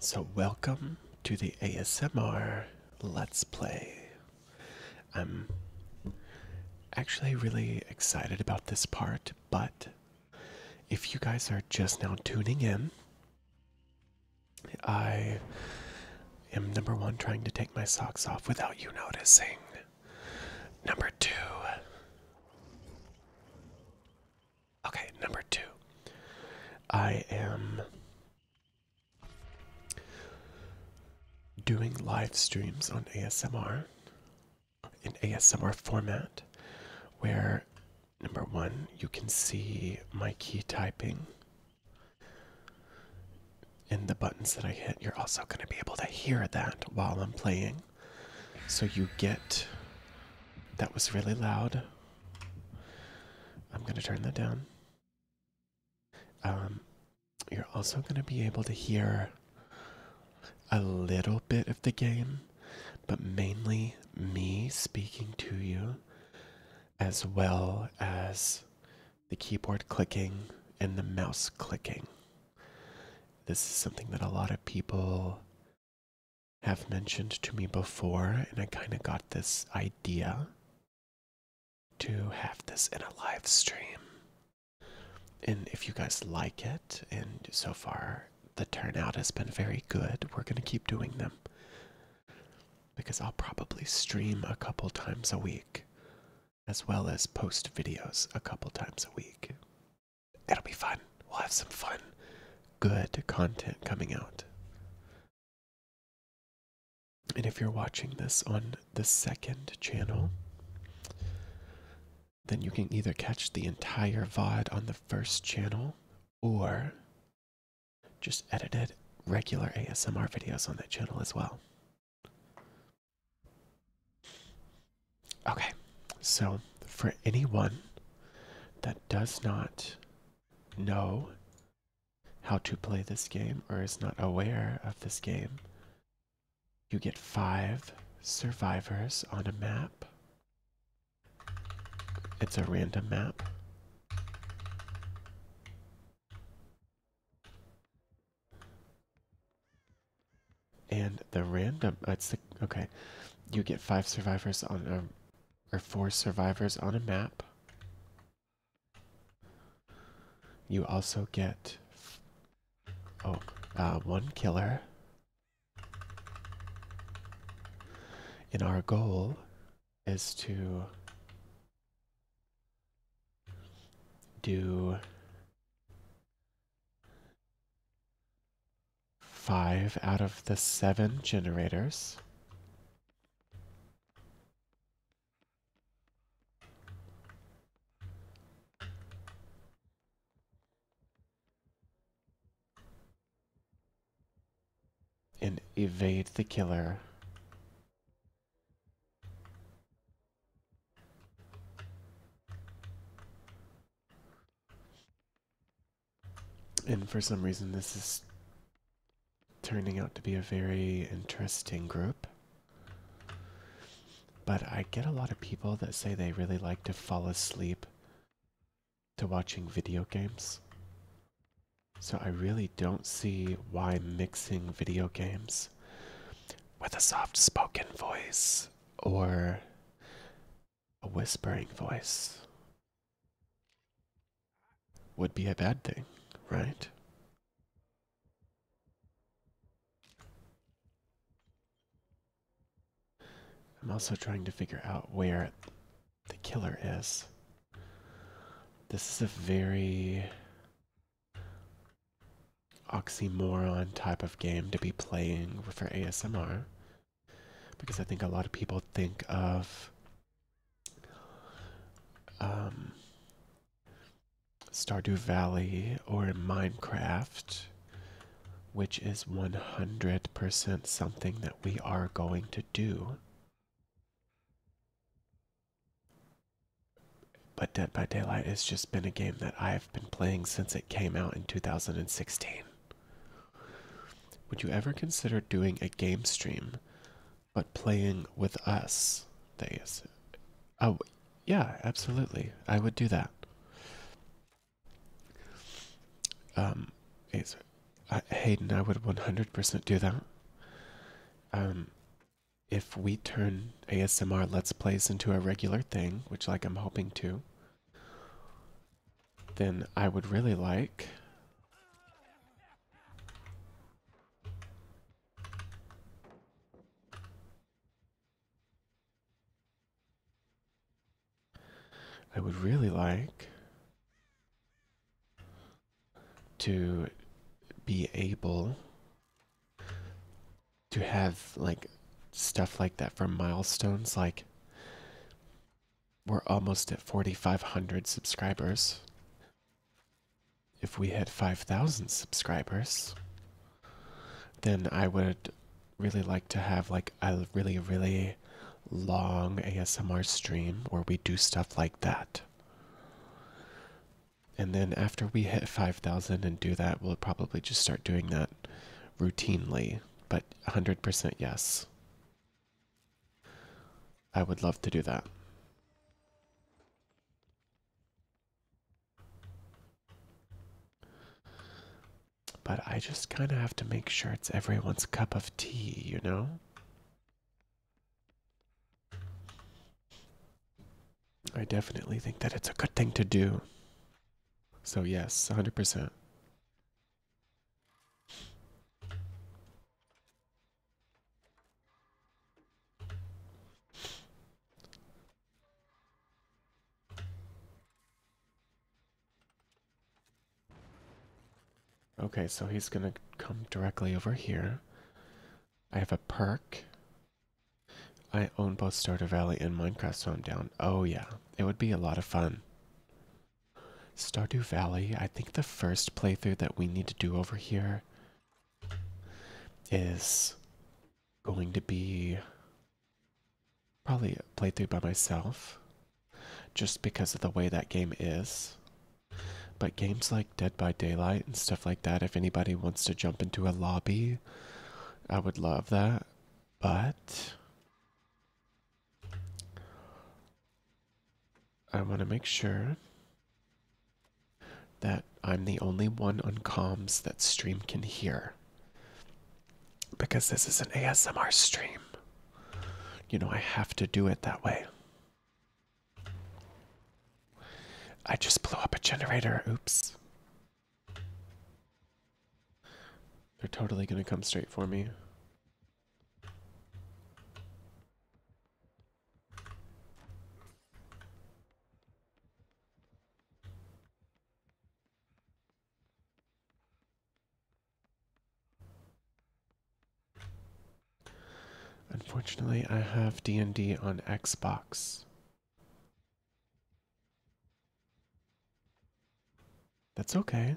So, welcome to the ASMR Let's Play. I'm actually really excited about this part, but if you guys are just now tuning in, I am number one trying to take my socks off without you noticing. Number two, Okay, number two. I am doing live streams on ASMR in ASMR format where number one, you can see my key typing and the buttons that I hit. You're also going to be able to hear that while I'm playing. So you get. That was really loud. I'm going to turn that down. Um, you're also going to be able to hear a little bit of the game, but mainly me speaking to you, as well as the keyboard clicking and the mouse clicking. This is something that a lot of people have mentioned to me before, and I kind of got this idea to have this in a live stream. And if you guys like it, and so far the turnout has been very good, we're going to keep doing them. Because I'll probably stream a couple times a week, as well as post videos a couple times a week it'll be fun. We'll have some fun, good content coming out. And if you're watching this on the second channel, then you can either catch the entire VOD on the first channel or just edited regular ASMR videos on that channel as well. Okay, so for anyone that does not know how to play this game or is not aware of this game, you get five survivors on a map. It's a random map and the random it's the okay you get five survivors on a or four survivors on a map you also get oh, uh, one killer and our goal is to do five out of the seven generators. And evade the killer. And for some reason, this is turning out to be a very interesting group. But I get a lot of people that say they really like to fall asleep to watching video games. So I really don't see why mixing video games with a soft spoken voice or a whispering voice would be a bad thing, right? I'm also trying to figure out where the killer is. This is a very oxymoron type of game to be playing for ASMR because I think a lot of people think of um, Stardew Valley or Minecraft, which is 100% something that we are going to do. But Dead by Daylight has just been a game that I've been playing since it came out in 2016. Would you ever consider doing a game stream, but playing with us? They oh yeah, absolutely. I would do that. Um, it's, Hayden, I would 100% do that. Um, if we turn ASMR Let's Plays into a regular thing, which like I'm hoping to, then I would really like I would really like to be able to have like stuff like that from milestones like we're almost at 4,500 subscribers. If we hit 5,000 subscribers, then I would really like to have like a really, really long ASMR stream where we do stuff like that. And then after we hit 5,000 and do that, we'll probably just start doing that routinely, but 100% yes. I would love to do that. But I just kind of have to make sure it's everyone's cup of tea, you know? I definitely think that it's a good thing to do. So, yes, 100%. Okay, so he's gonna come directly over here. I have a perk. I own both Starter Valley and Minecraft, so I'm down. Oh yeah, it would be a lot of fun. Stardew Valley, I think the first playthrough that we need to do over here is going to be probably a playthrough by myself just because of the way that game is. But games like Dead by Daylight and stuff like that, if anybody wants to jump into a lobby, I would love that. But I want to make sure that I'm the only one on comms that stream can hear. Because this is an ASMR stream. You know, I have to do it that way. I just blew up a generator. Oops. They're totally going to come straight for me. Unfortunately, I have D&D on Xbox. That's okay.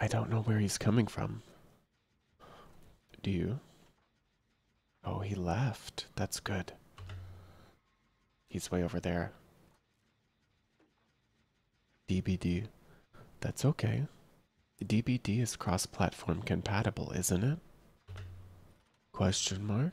I don't know where he's coming from. Do you? Oh, he left. That's good. He's way over there. DBD. That's okay. DBD is cross-platform compatible, isn't it? Question mark?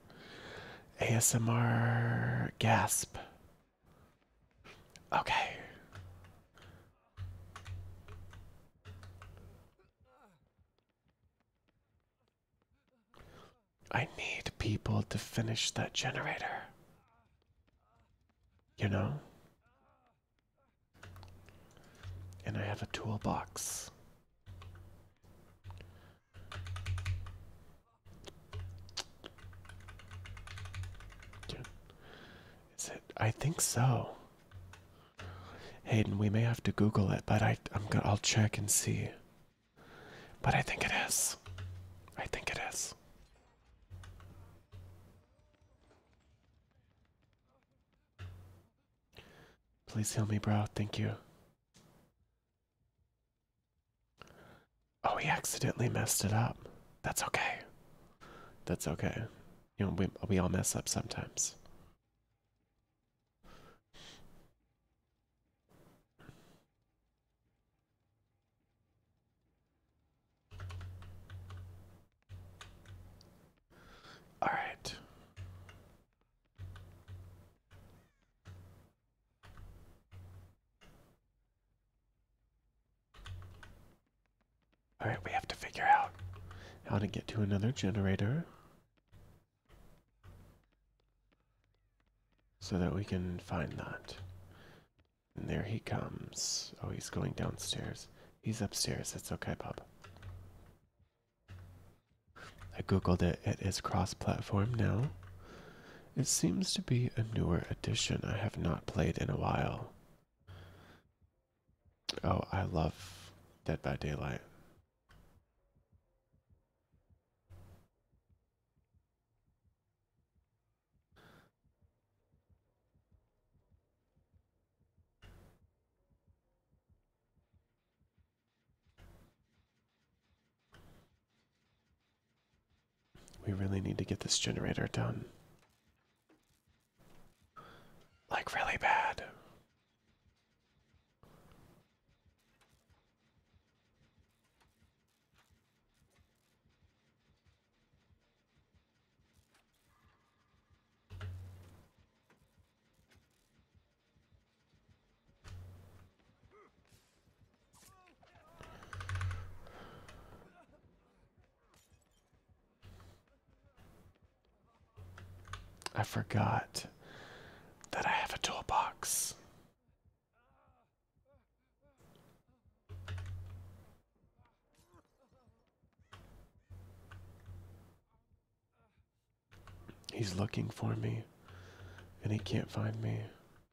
ASMR gasp. Okay. I need people to finish that generator. You know? And I have a toolbox. Is it? I think so. Hayden, we may have to Google it, but I, i I'll check and see. But I think it is. I think it is. Please heal me, bro. Thank you. Oh, we accidentally messed it up. That's okay. That's okay. You know, we, we all mess up sometimes. All right. Alright, we have to figure out how to get to another generator. So that we can find that. And there he comes. Oh, he's going downstairs. He's upstairs. That's okay, Bob. I googled it. It is cross-platform now. It seems to be a newer edition I have not played in a while. Oh, I love Dead by Daylight. We really need to get this generator done. Like, really bad. I forgot that I have a toolbox. He's looking for me and he can't find me.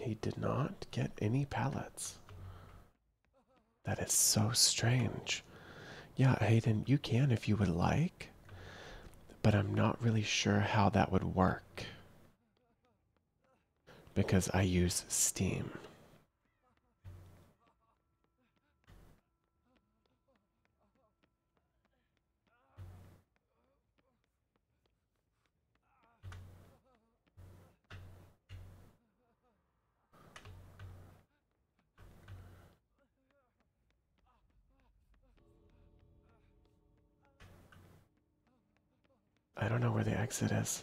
He did not get any pallets. That is so strange. Yeah, Hayden, you can if you would like, but I'm not really sure how that would work because I use Steam. I don't know where the exit is.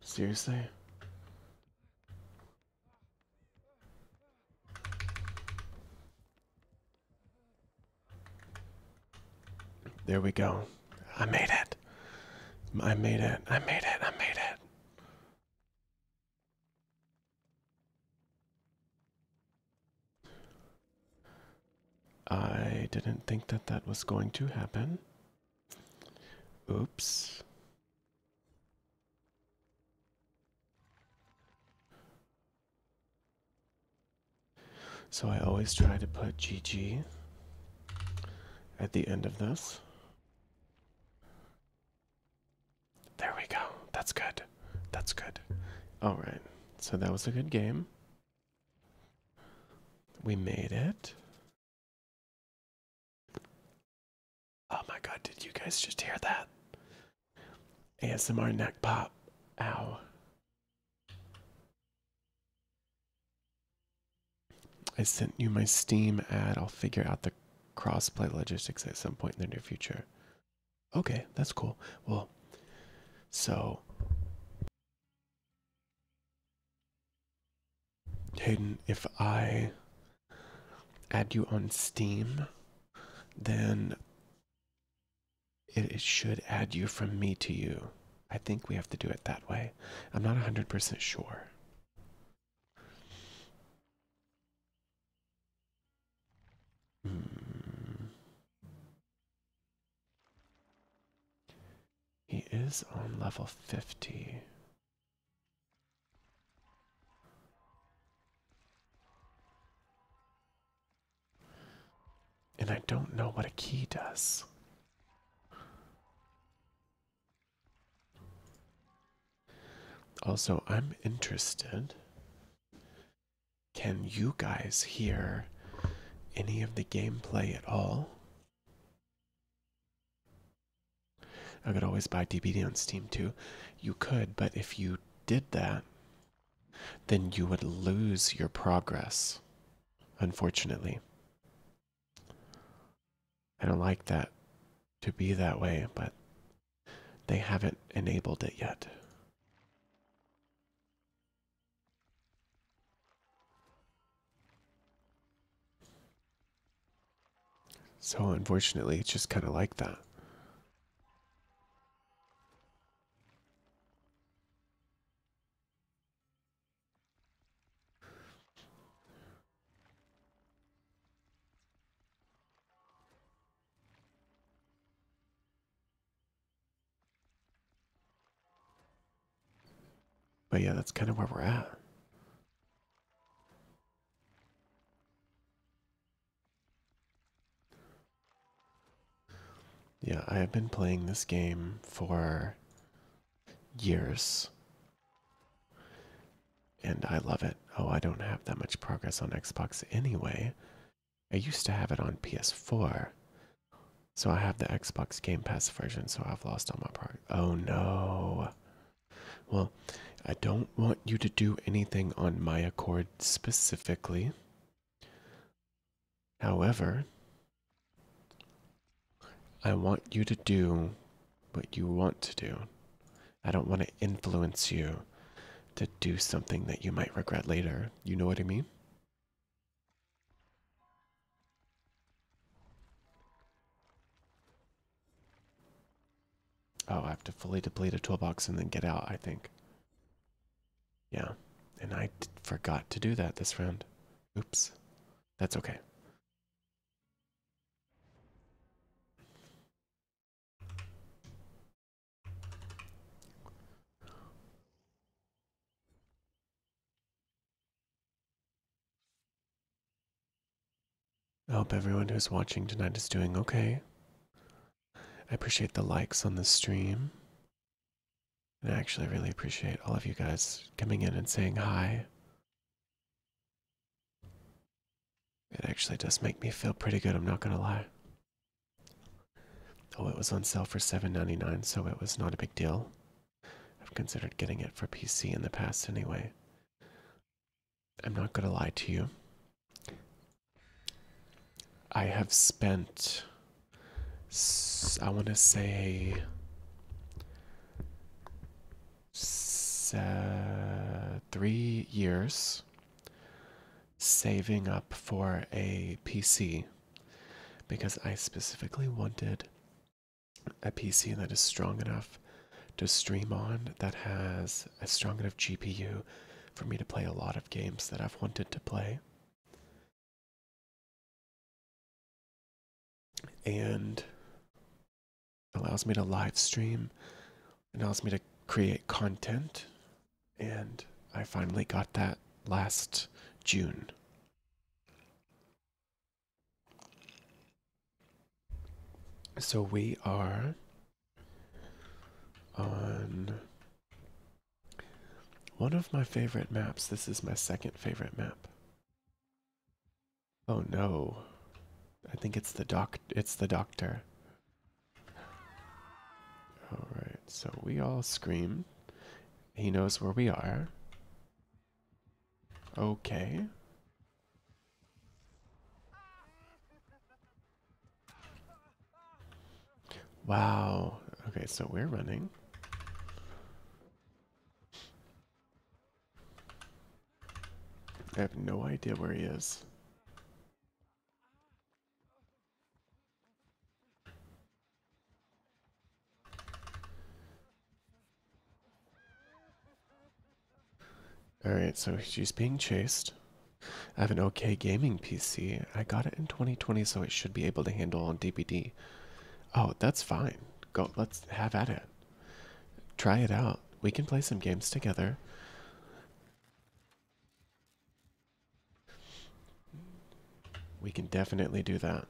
Seriously? There we go. I made it. I made it. I made it. I made it. I didn't think that that was going to happen. Oops. So I always try to put GG at the end of this. There we go. That's good. That's good. All right. So that was a good game. We made it. Oh my god, did you guys just hear that? ASMR neck pop. Ow. I sent you my Steam ad. I'll figure out the crossplay logistics at some point in the near future. Okay, that's cool. Well, so Hayden, if I add you on Steam, then it, should add you from me to you. I think we have to do it that way. I'm not 100% sure. Hmm. He is on level 50. And I don't know what a key does. Also, I'm interested can you guys hear any of the gameplay at all? I could always buy DBD on Steam too. You could, but if you did that, then you would lose your progress, unfortunately. I don't like that to be that way, but they haven't enabled it yet. So unfortunately, it's just kind of like that. But yeah, that's kind of where we're at. Yeah, I have been playing this game for years. And I love it. Oh, I don't have that much progress on Xbox anyway. I used to have it on PS4. So I have the Xbox Game Pass version, so I've lost all my progress. Oh no. Well, I don't want you to do anything on my Accord specifically. However, I want you to do what you want to do. I don't want to influence you to do something that you might regret later. You know what I mean? Oh, I have to fully deplete a toolbox and then get out, I think. Yeah, and I forgot to do that this round. Oops. That's okay. I hope everyone who's watching tonight is doing okay. I appreciate the likes on the stream. And I actually really appreciate all of you guys coming in and saying hi. It actually does make me feel pretty good, I'm not gonna lie. Oh, it was on sale for $7.99, so it was not a big deal. I've considered getting it for PC in the past anyway. I'm not going to lie to you. I have spent, I want to say, three years saving up for a PC because I specifically wanted a PC that is strong enough to stream on, that has a strong enough GPU for me to play a lot of games that I've wanted to play. And allows me to live stream, allows me to create content and I finally got that last June. So we are on one of my favorite maps. This is my second favorite map. Oh no. I think it's the doc it's the doctor. All right. So we all scream he knows where we are. Okay. Wow. Okay, so we're running. I have no idea where he is. Alright, so she's being chased. I have an okay gaming PC. I got it in 2020, so it should be able to handle on DBD. Oh, that's fine. Go, let's have at it. Try it out. We can play some games together. We can definitely do that.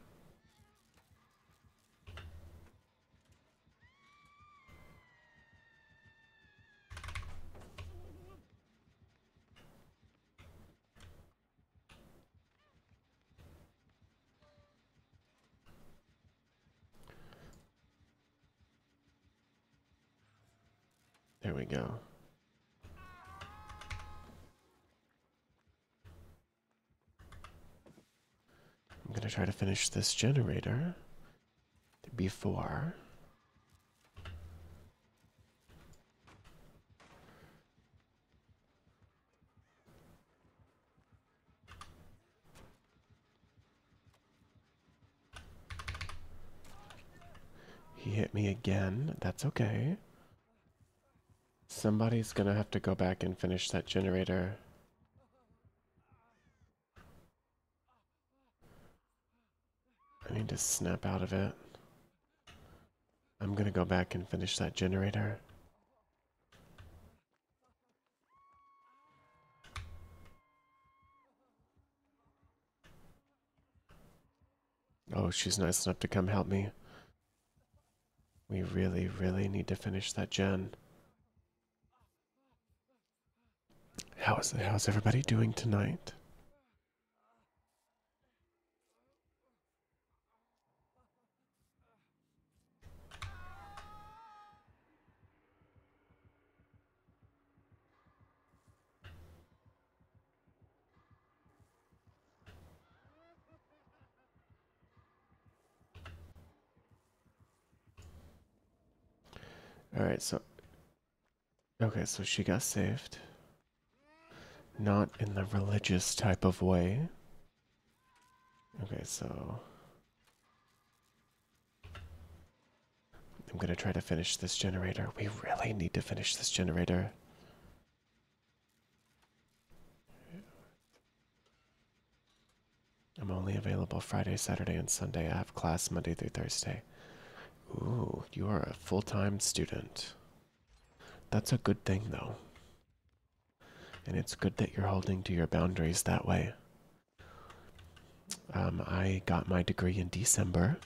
There we go. I'm going to try to finish this generator before he hit me again. That's okay. Somebody's gonna have to go back and finish that generator. I need to snap out of it. I'm gonna go back and finish that generator. Oh, she's nice enough to come help me. We really, really need to finish that Jen. How is how's everybody doing tonight? All right, so okay, so she got saved. Not in the religious type of way. Okay, so I'm gonna try to finish this generator. We really need to finish this generator. I'm only available Friday, Saturday, and Sunday. I have class Monday through Thursday. Ooh, you are a full time student. That's a good thing, though. And it's good that you're holding to your boundaries that way. Um, I got my degree in December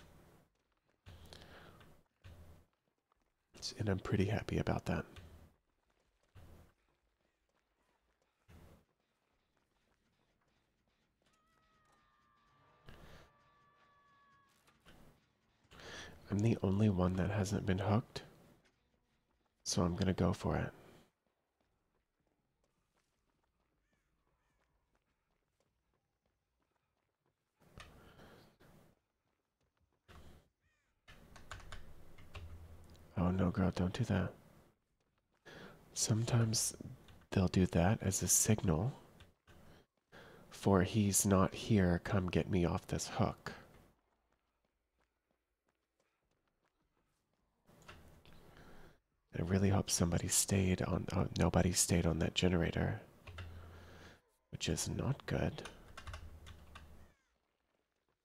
and I'm pretty happy about that. I'm the only one that hasn't been hooked, so I'm gonna go for it. Oh no, girl, don't do that. Sometimes they'll do that as a signal for he's not here, come get me off this hook. I really hope somebody stayed on, uh, nobody stayed on that generator which is not good.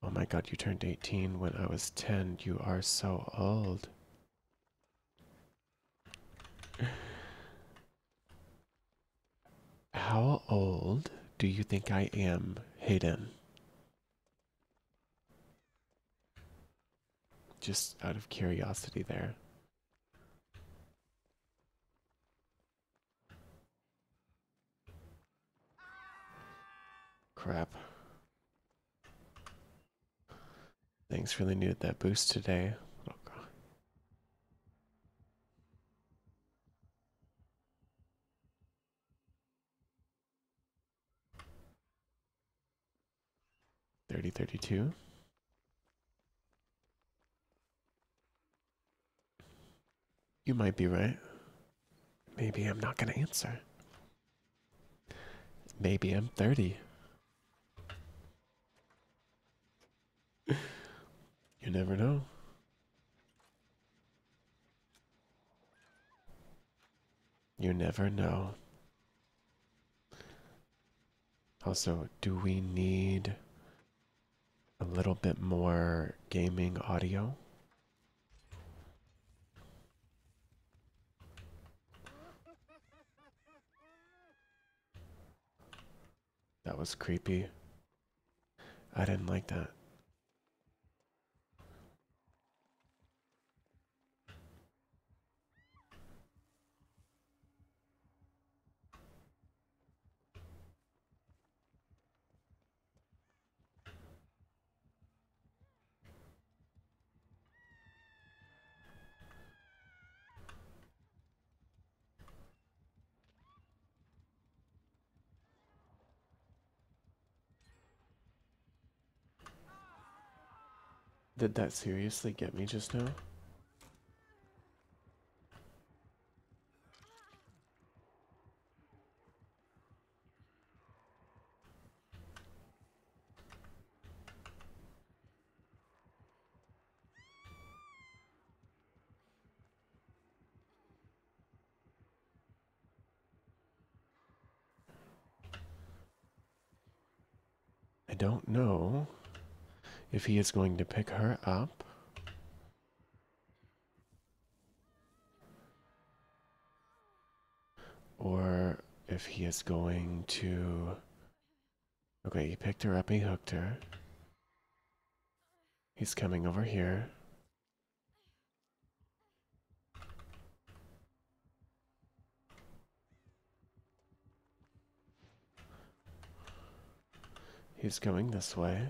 Oh my god, you turned 18 when I was 10. You are so old. How old do you think I am, Hayden? Just out of curiosity there. Crap. Things really needed that boost today. Oh god. Thirty thirty two. You might be right. Maybe I'm not going to answer. Maybe I'm 30. you never know. You never know. Also, do we need a little bit more gaming audio. That was creepy. I didn't like that. Did that seriously get me just now? I don't know if he is going to pick her up or if he is going to... Okay, he picked her up, he hooked her. He's coming over here. He's coming this way.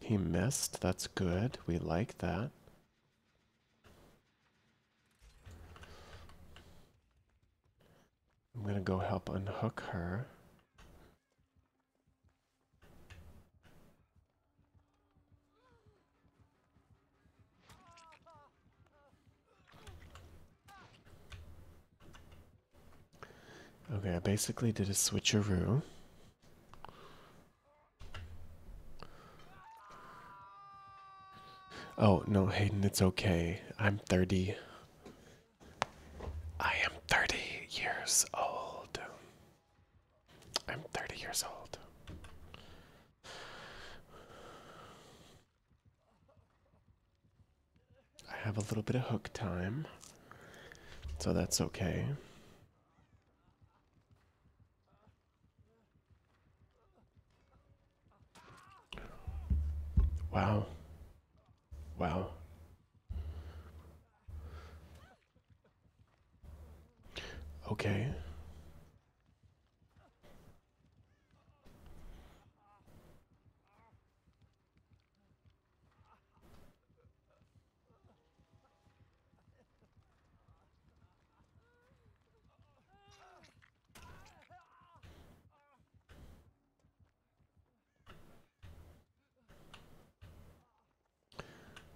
He missed. That's good. We like that. I'm going to go help unhook her. Okay, I basically did a switcheroo. Oh, no, Hayden, it's okay. I'm 30. I am 30 years old. I'm 30 years old. I have a little bit of hook time, so that's okay. Wow. Wow. Okay.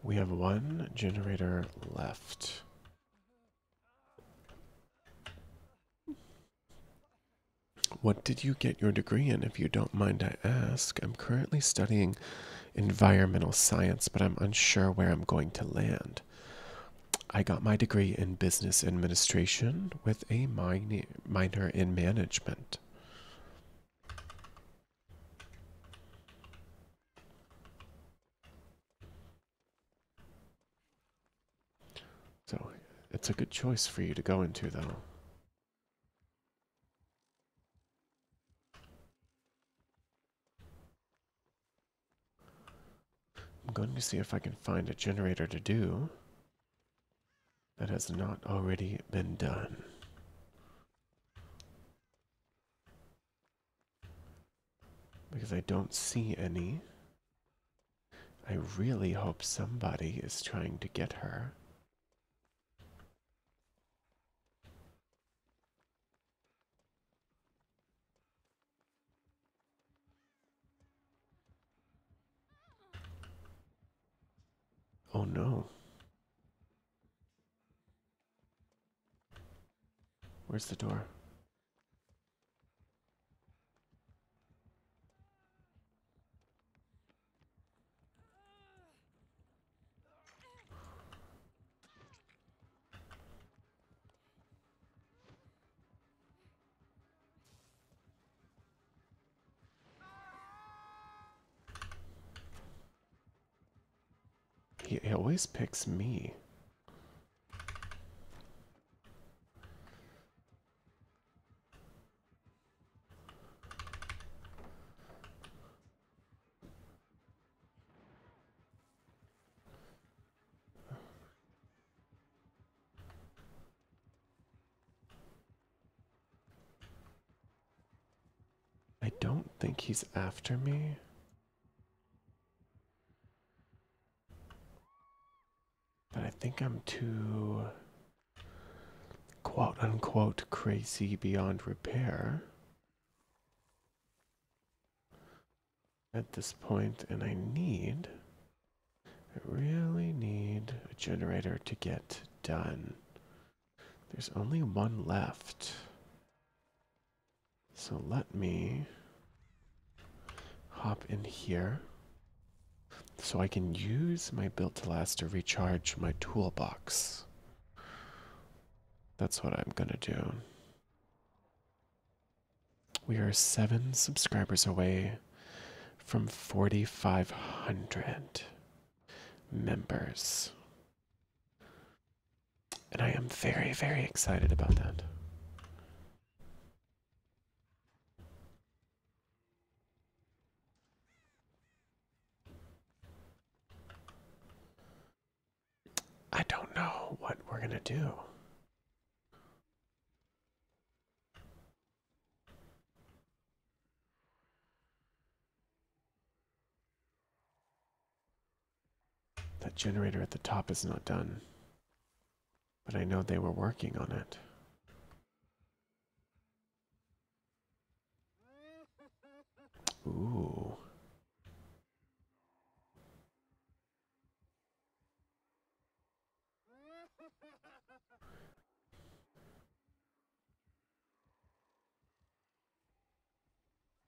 We have one generator left. What did you get your degree in, if you don't mind I ask? I'm currently studying environmental science, but I'm unsure where I'm going to land. I got my degree in business administration with a minor in management. So it's a good choice for you to go into, though. I'm going to see if I can find a generator to do that has not already been done. Because I don't see any. I really hope somebody is trying to get her. Oh no. Where's the door? He, always picks me. I don't think he's after me. But I think I'm too quote unquote crazy beyond repair at this point, and I need, I really need a generator to get done. There's only one left. So let me hop in here so I can use my built to last to recharge my toolbox. That's what I'm gonna do. We are seven subscribers away from 4,500 members. And I am very, very excited about that. I don't know what we're going to do. That generator at the top is not done. But I know they were working on it. Ooh.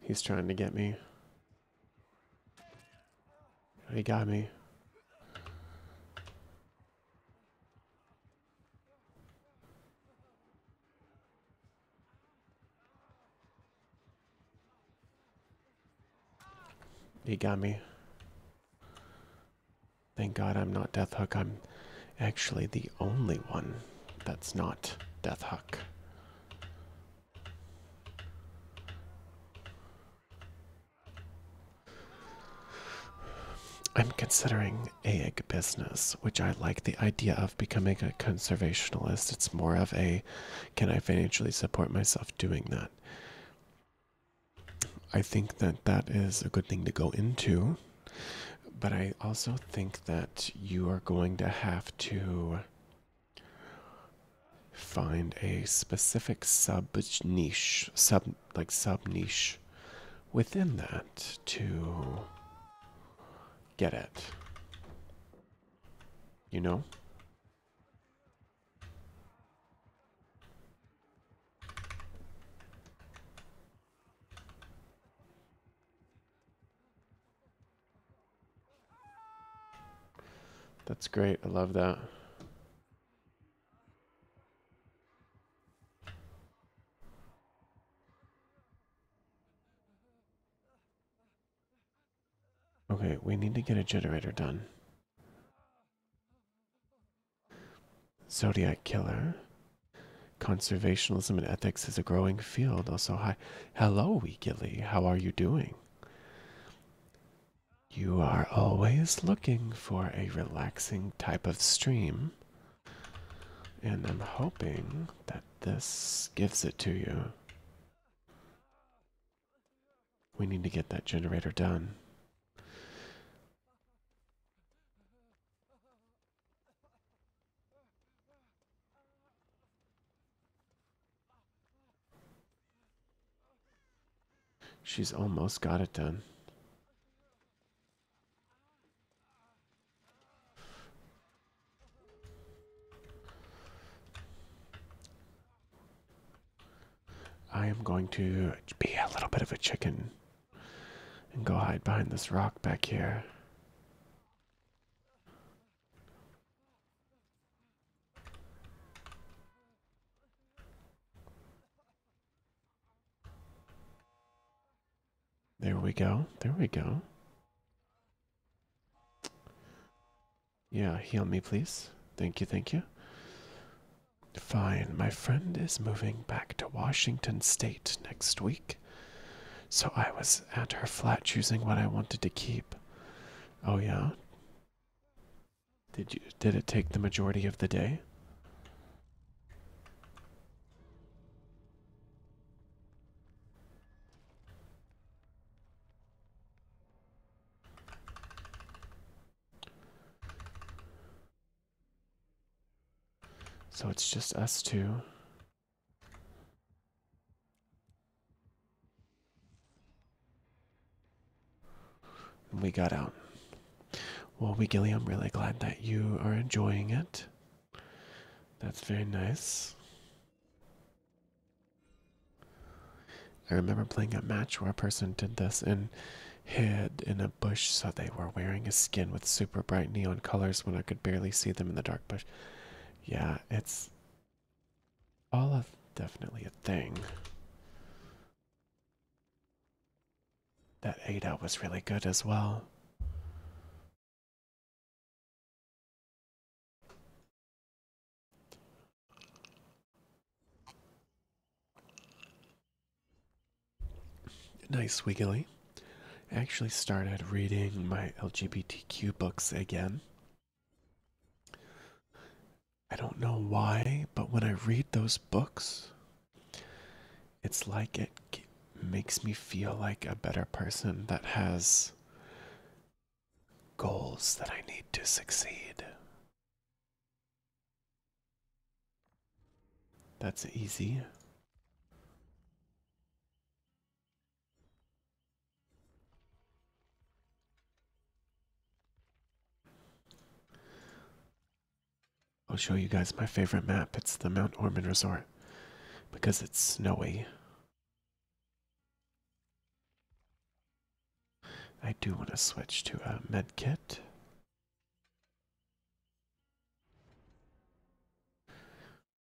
He's trying to get me. He got me. He got me. Thank God I'm not Death Hook. I'm actually the only one that's not Death Hook. I'm considering egg business, which I like the idea of becoming a conservationist. It's more of a can I financially support myself doing that? I think that that is a good thing to go into, but I also think that you are going to have to find a specific sub niche, sub like sub niche within that to get it. You know? That's great. I love that. Okay, we need to get a generator done. Zodiac Killer. Conservationism and ethics is a growing field. Also, hi. Hello, Gilly. How are you doing? You are always looking for a relaxing type of stream. And I'm hoping that this gives it to you. We need to get that generator done. She's almost got it done. I am going to be a little bit of a chicken and go hide behind this rock back here. There we go. There we go. Yeah, heal me, please. Thank you, thank you. Fine, my friend is moving back to Washington State next week. So I was at her flat choosing what I wanted to keep. Oh yeah. Did you did it take the majority of the day? So it's just us two. we got out. Well, we, Wiggily, I'm really glad that you are enjoying it. That's very nice. I remember playing a match where a person did this and hid in a bush, so they were wearing a skin with super bright neon colors when I could barely see them in the dark bush. Yeah, it's all definitely a thing. That Ada was really good as well. Nice, Wiggly. I actually started reading my LGBTQ books again. I don't know why, but when I read those books, it's like it makes me feel like a better person that has goals that I need to succeed. That's easy. I'll show you guys my favorite map. It's the Mount Ormond Resort because it's snowy. I do want to switch to a medkit.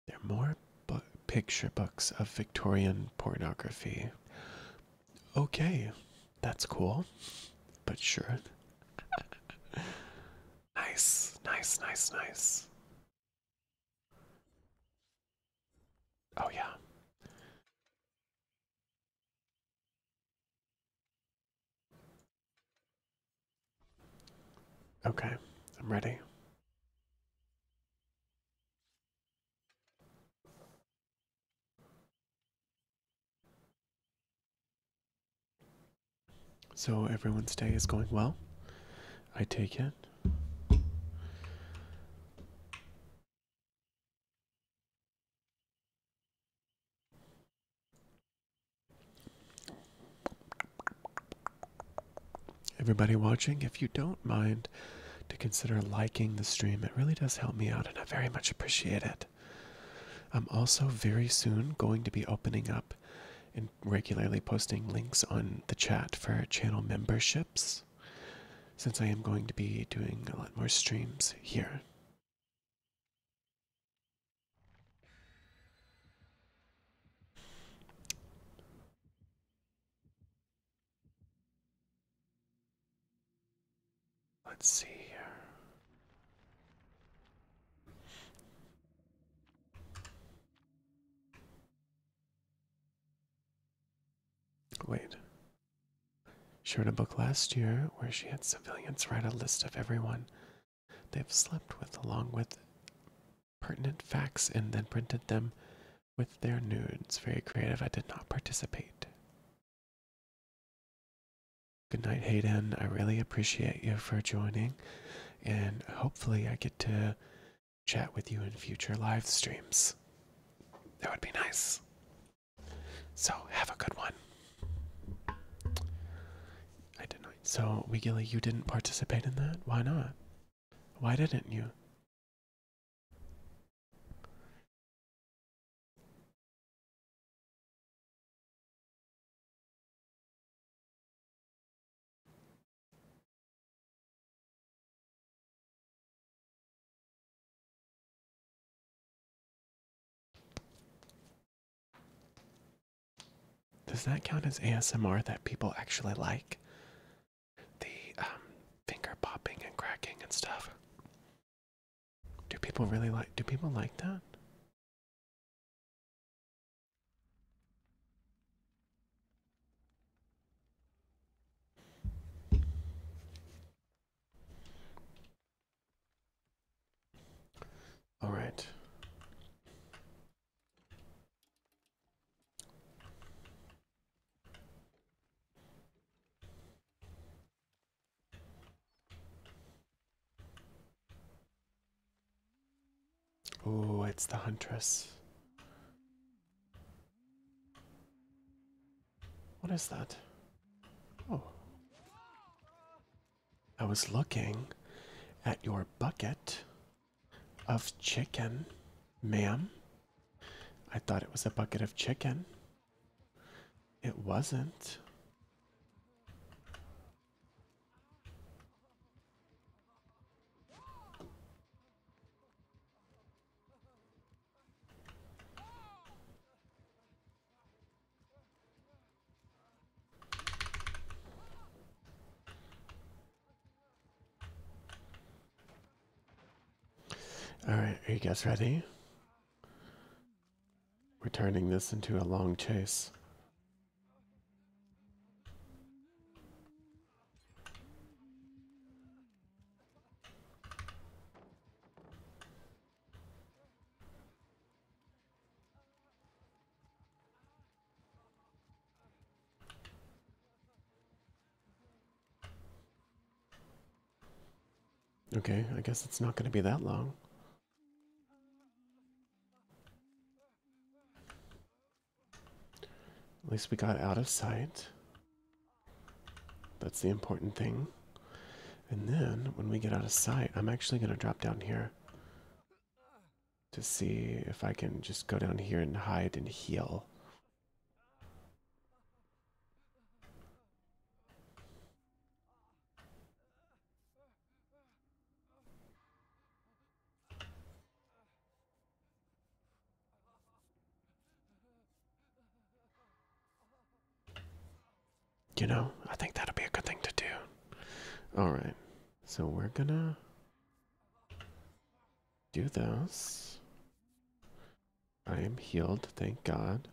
They're more picture books of Victorian pornography. Okay, that's cool, but sure. nice, nice, nice, nice. Oh, yeah. Okay, I'm ready. So everyone's day is going well. I take it. Everybody watching, if you don't mind to consider liking the stream, it really does help me out and I very much appreciate it. I'm also very soon going to be opening up and regularly posting links on the chat for channel memberships since I am going to be doing a lot more streams here Let's see here. Wait, she wrote a book last year where she had civilians write a list of everyone they've slept with, along with pertinent facts, and then printed them with their nudes. Very creative. I did not participate. Good night, Hayden. I really appreciate you for joining, and hopefully, I get to chat with you in future live streams. That would be nice. So have a good one. I didn't. So Wigila, you didn't participate in that. Why not? Why didn't you? Does that count as ASMR that people actually like? The um, finger popping and cracking and stuff. Do people really like? Do people like that? All right. Oh, it's the huntress. What is that? Oh. I was looking at your bucket of chicken, ma'am. I thought it was a bucket of chicken. It wasn't. All right, are you guys ready? We're turning this into a long chase. Okay, I guess it's not going to be that long. At least we got out of sight. That's the important thing. And then when we get out of sight, I'm actually going to drop down here to see if I can just go down here and hide and heal. You know, I think that'll be a good thing to do. Alright, so we're gonna do those. I am healed, thank God.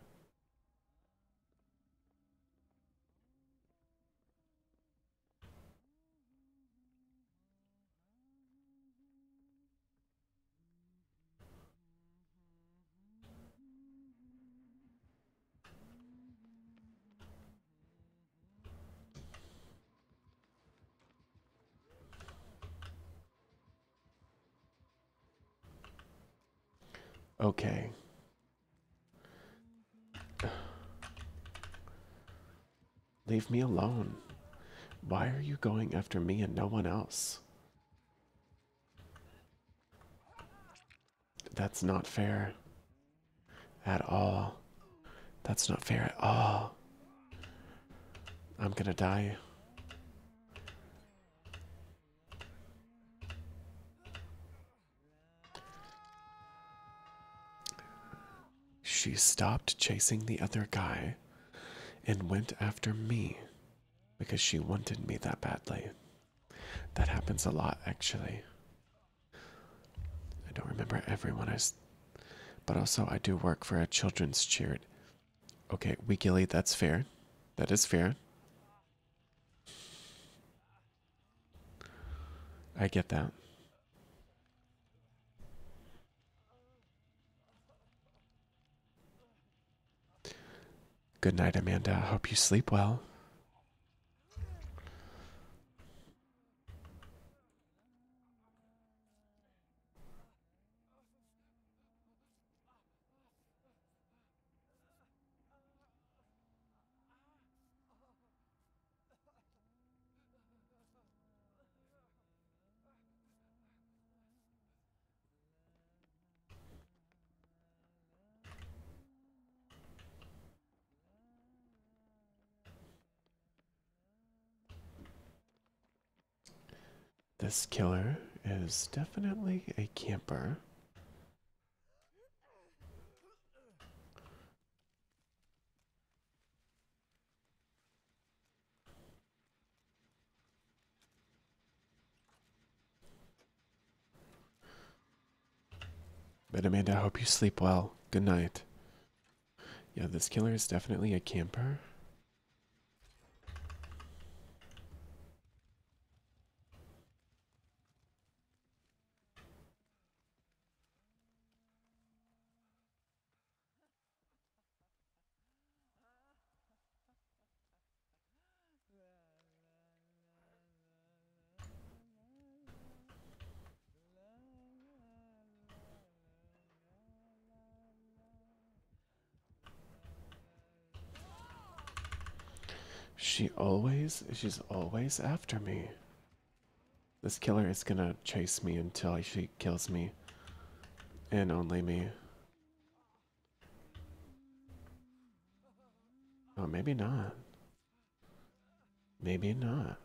Okay. Leave me alone. Why are you going after me and no one else? That's not fair. At all. That's not fair at all. I'm gonna die. She stopped chasing the other guy and went after me because she wanted me that badly. That happens a lot, actually. I don't remember everyone I. But also, I do work for a children's charity. Okay, we, Gilly, that's fair. That is fair. I get that. Good night, Amanda. hope you sleep well. This killer is definitely a camper. But Amanda, I hope you sleep well. Good night. Yeah, this killer is definitely a camper. She always, she's always after me. This killer is gonna chase me until she kills me. And only me. Oh, maybe not. Maybe not.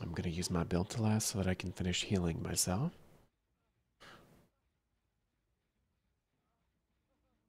I'm going to use my build to last so that I can finish healing myself.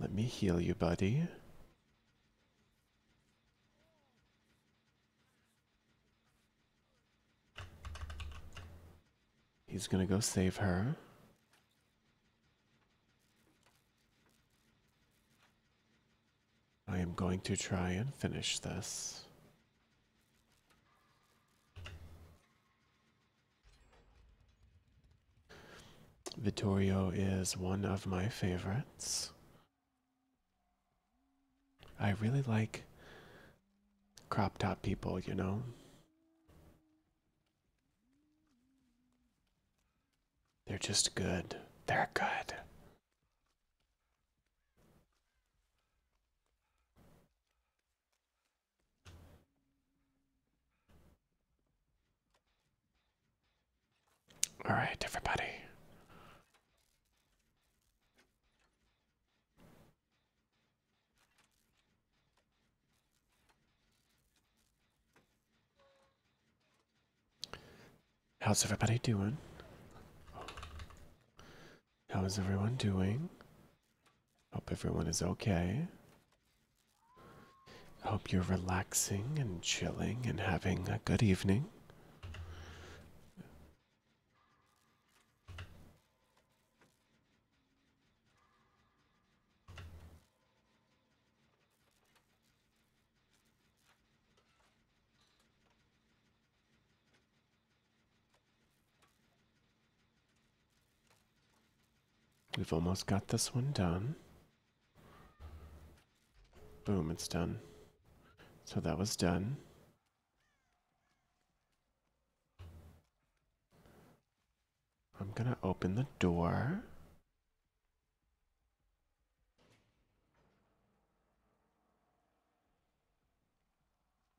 Let me heal you, buddy. He's gonna go save her. I am going to try and finish this. Vittorio is one of my favorites. I really like crop top people, you know? They're just good. They're good. All right, everybody. How's everybody doing? How is everyone doing? Hope everyone is okay. Hope you're relaxing and chilling and having a good evening. We've almost got this one done. Boom, it's done. So that was done. I'm gonna open the door.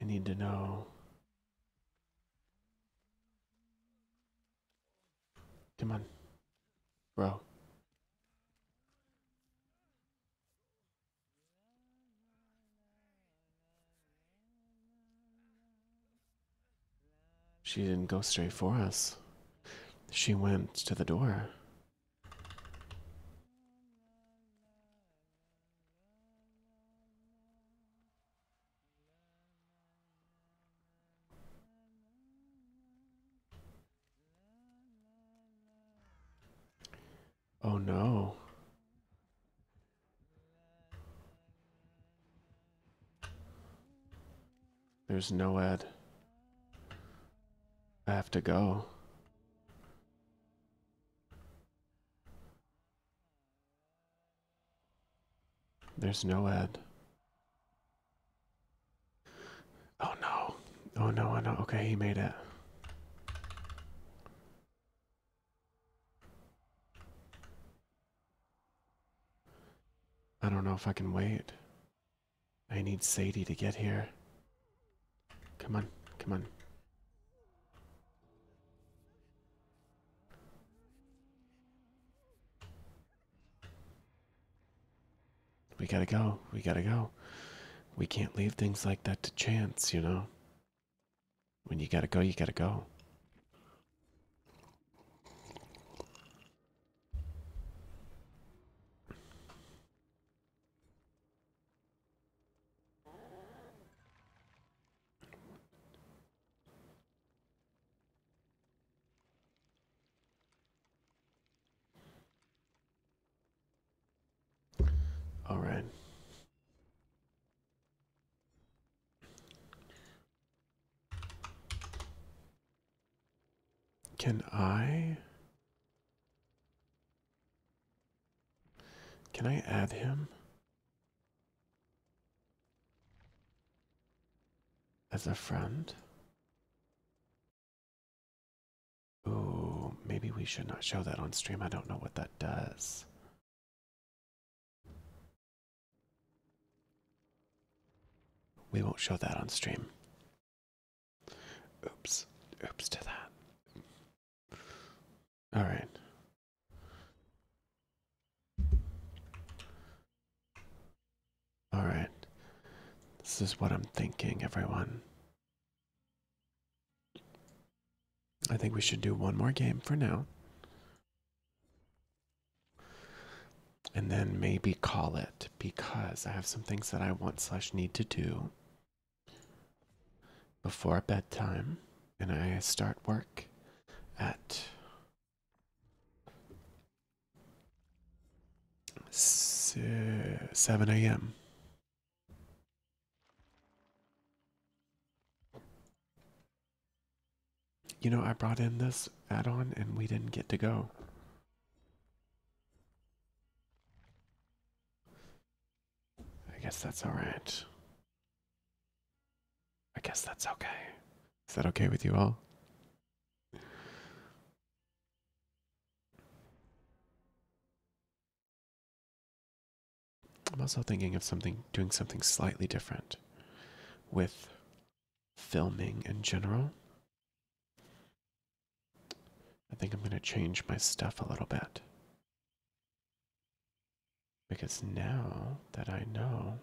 I need to know. Come on, bro. She didn't go straight for us. She went to the door. Oh no. There's no Ed. I have to go. There's no ad. Oh no. Oh no, I know. Okay, he made it. I don't know if I can wait. I need Sadie to get here. Come on, come on. We gotta go, we gotta go. We can't leave things like that to chance, you know? When you gotta go, you gotta go. All right. Can I can I add him as a friend? Ooh, maybe we should not show that on stream. I don't know what that does. We won't show that on stream. Oops. Oops to that. All right. All right. This is what I'm thinking, everyone. I think we should do one more game for now. And then maybe call it because I have some things that I want slash need to do before bedtime, and I start work at seven a.m. You know, I brought in this add-on, and we didn't get to go. I guess that's alright. I guess that's okay. Is that okay with you all? I'm also thinking of something, doing something slightly different with filming in general. I think I'm going to change my stuff a little bit. Because now that I know.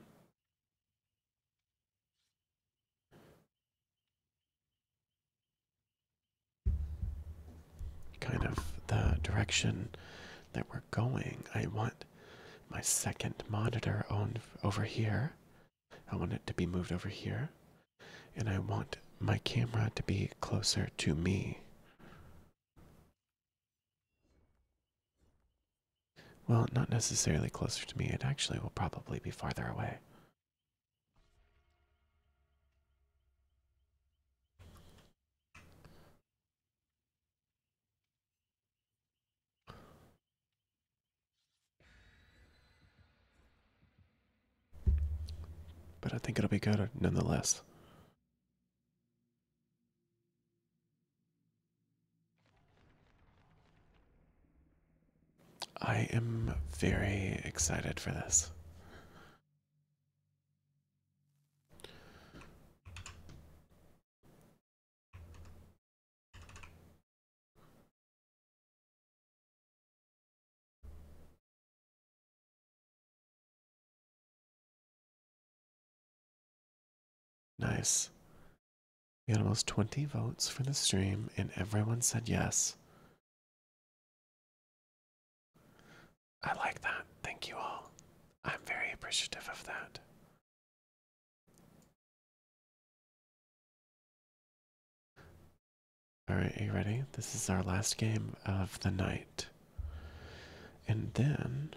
Kind of the direction that we're going. I want my second monitor on over here. I want it to be moved over here and I want my camera to be closer to me. Well, not necessarily closer to me, it actually will probably be farther away. But I think it'll be good nonetheless. I am very excited for this. Nice. We had almost 20 votes for the stream, and everyone said yes. I like that. Thank you all. I'm very appreciative of that. All right, are you ready? This is our last game of the night. And then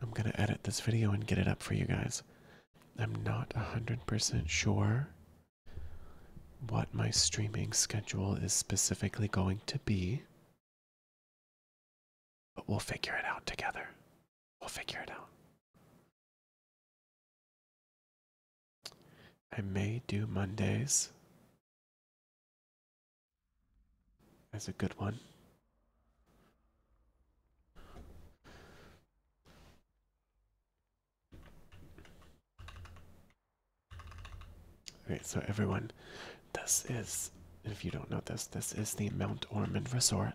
I'm going to edit this video and get it up for you guys. I'm not 100% sure what my streaming schedule is specifically going to be, but we'll figure it out together. We'll figure it out. I may do Mondays That's a good one. All right, so everyone, this is, if you don't know this, this is the Mount Ormond Resort.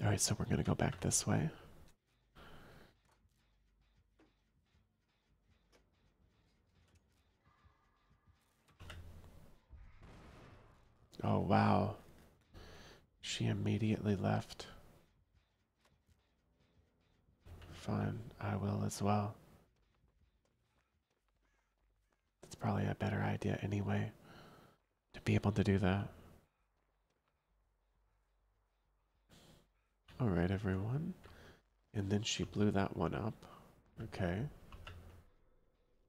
Alright, so we're going to go back this way. Oh, wow. She immediately left. Fine, I will as well. That's probably a better idea anyway to be able to do that. All right, everyone. And then she blew that one up. Okay.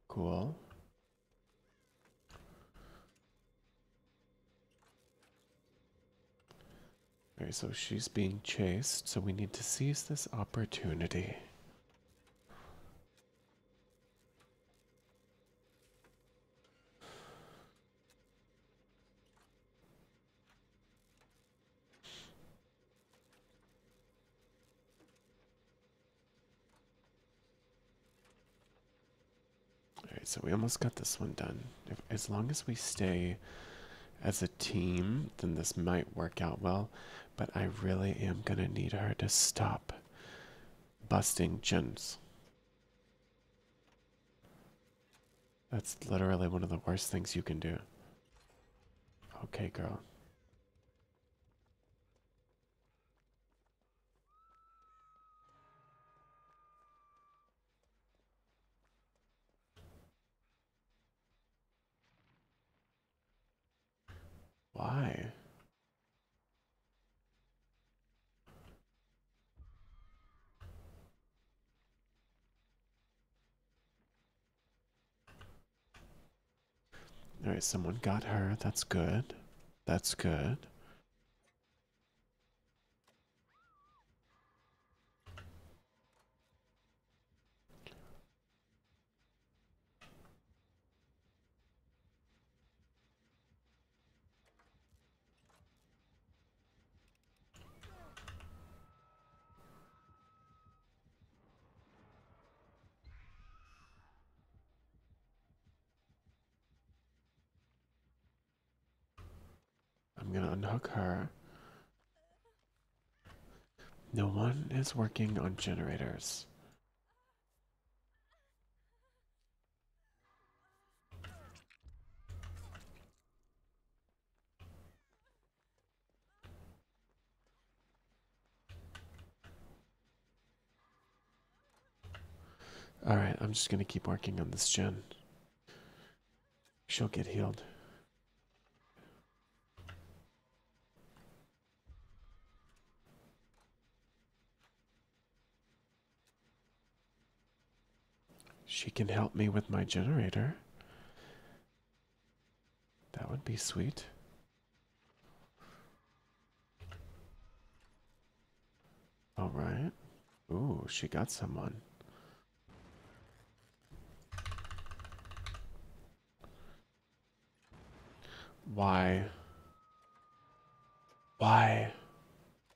Cool. Okay, so she's being chased, so we need to seize this opportunity. Alright, so we almost got this one done. as long as we stay as a team, then this might work out well. But I really am going to need her to stop busting gems. That's literally one of the worst things you can do. Okay, girl. Why? All right, someone got her. That's good. That's good. I'm gonna unhook her. No one is working on generators. All right, I'm just going to keep working on this gen. She'll get healed. She can help me with my generator. That would be sweet. All right. Ooh, she got someone. Why? Why?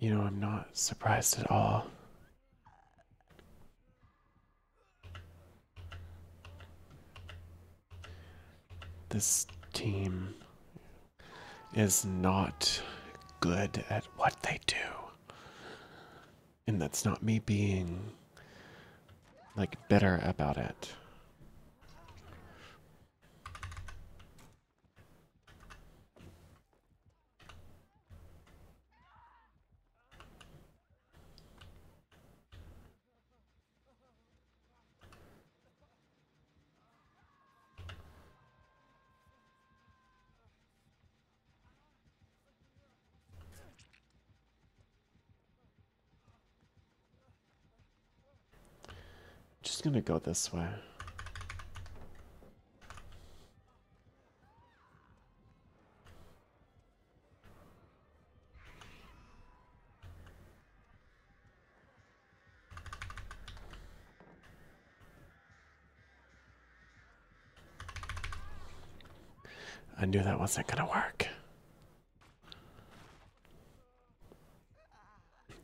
You know, I'm not surprised at all. This team is not good at what they do. And that's not me being like better about it. Just gonna go this way. I knew that wasn't gonna work.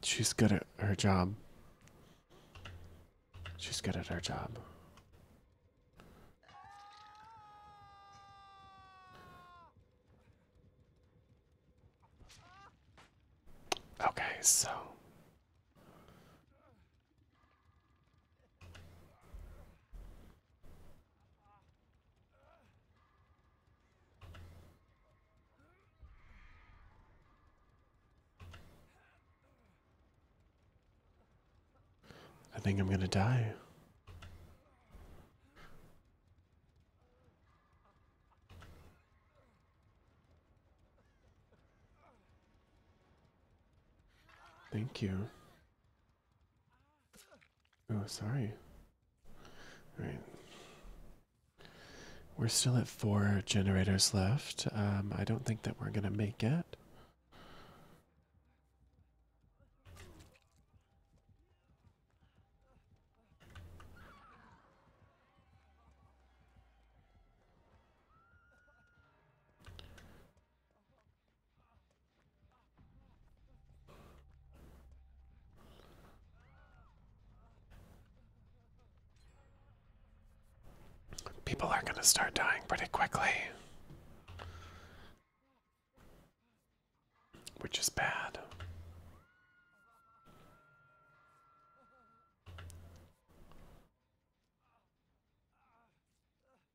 She's good at her job. She's good at her job. Okay, so. I think I'm going to die. Thank you. Oh, sorry. All right. We're still at four generators left. Um, I don't think that we're going to make it. People are going to start dying pretty quickly, which is bad.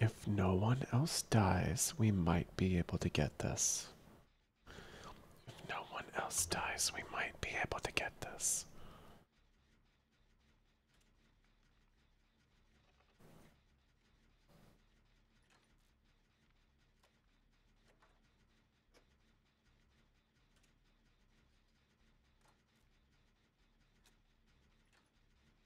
If no one else dies, we might be able to get this. If no one else dies, we might be able to get this.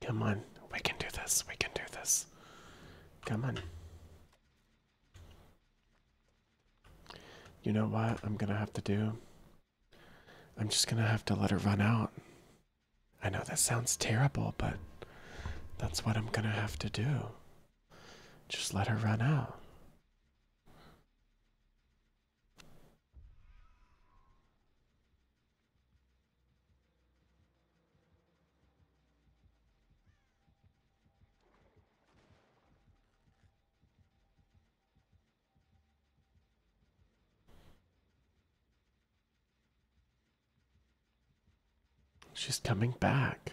Come on, we can do this, we can do this. Come on. You know what I'm gonna have to do? I'm just gonna have to let her run out. I know that sounds terrible, but that's what I'm gonna have to do. Just let her run out. She's coming back.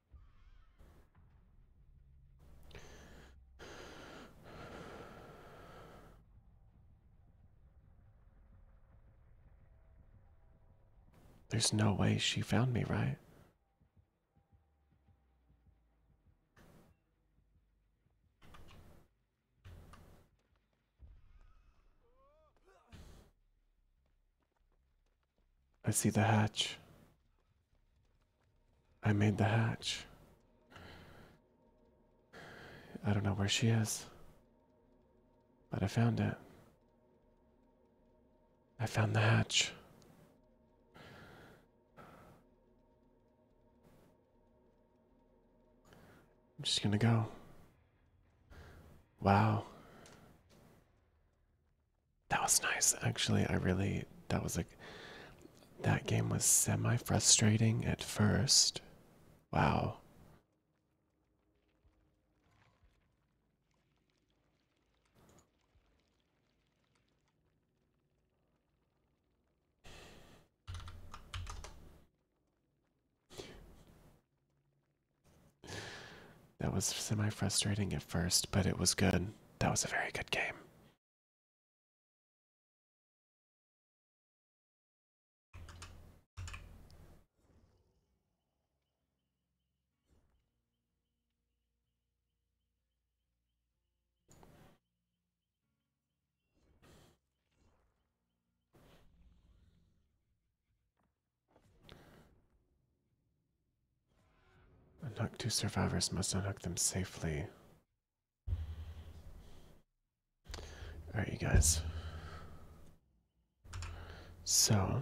There's no way she found me, right? I see the hatch. I made the hatch. I don't know where she is, but I found it. I found the hatch. I'm just gonna go. Wow. That was nice, actually. I really, that was like, that game was semi frustrating at first. Wow. That was semi frustrating at first, but it was good. That was a very good game. Unhook two survivors must unhook them safely. Alright, you guys. So,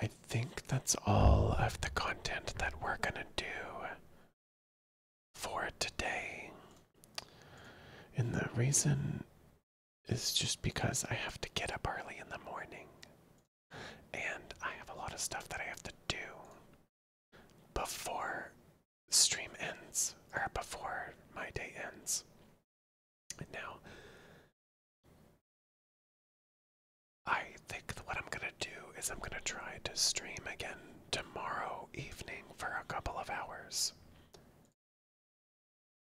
I think that's all of the content that we're gonna do for today. And the reason is just because I have to get up early in the morning and I have a lot of stuff that I have to do before stream ends or before my day ends. Now, I think what I'm going to do is I'm going to try to stream again tomorrow evening for a couple of hours.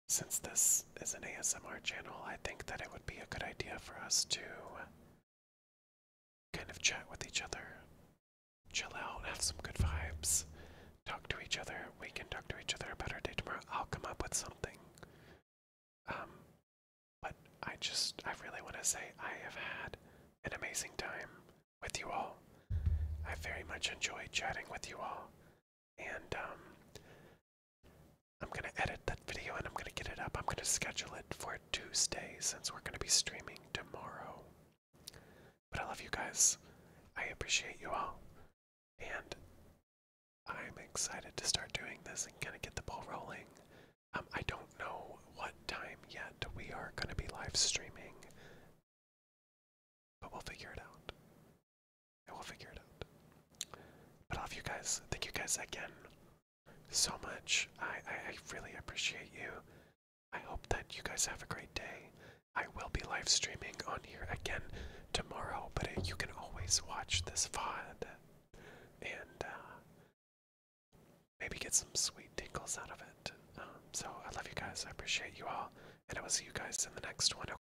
Since this is an ASMR channel, I think that it would be a good idea for us to kind of chat with each other, chill out, have some good vibes, talk to each other. We can talk to each other about our day tomorrow. I'll come up with something. Um, but I just, I really want to say I have had an amazing time with you all. I very much enjoyed chatting with you all and um, I'm gonna edit that video and I'm gonna get it up. I'm gonna schedule it for Tuesday since we're gonna be streaming tomorrow. But I love you guys. I appreciate you all, and I'm excited to start doing this and kind of get the ball rolling. Um, I don't know what time yet we are gonna be live streaming. But we'll figure it out. And we'll figure it out. But off you guys. Thank you guys again so much. I, I, really appreciate you. I hope that you guys have a great day. I will be live streaming on here again tomorrow, but you can always watch this VOD and uh, maybe get some sweet tinkles out of it. Um, so I love you guys. I appreciate you all. And I will see you guys in the next one.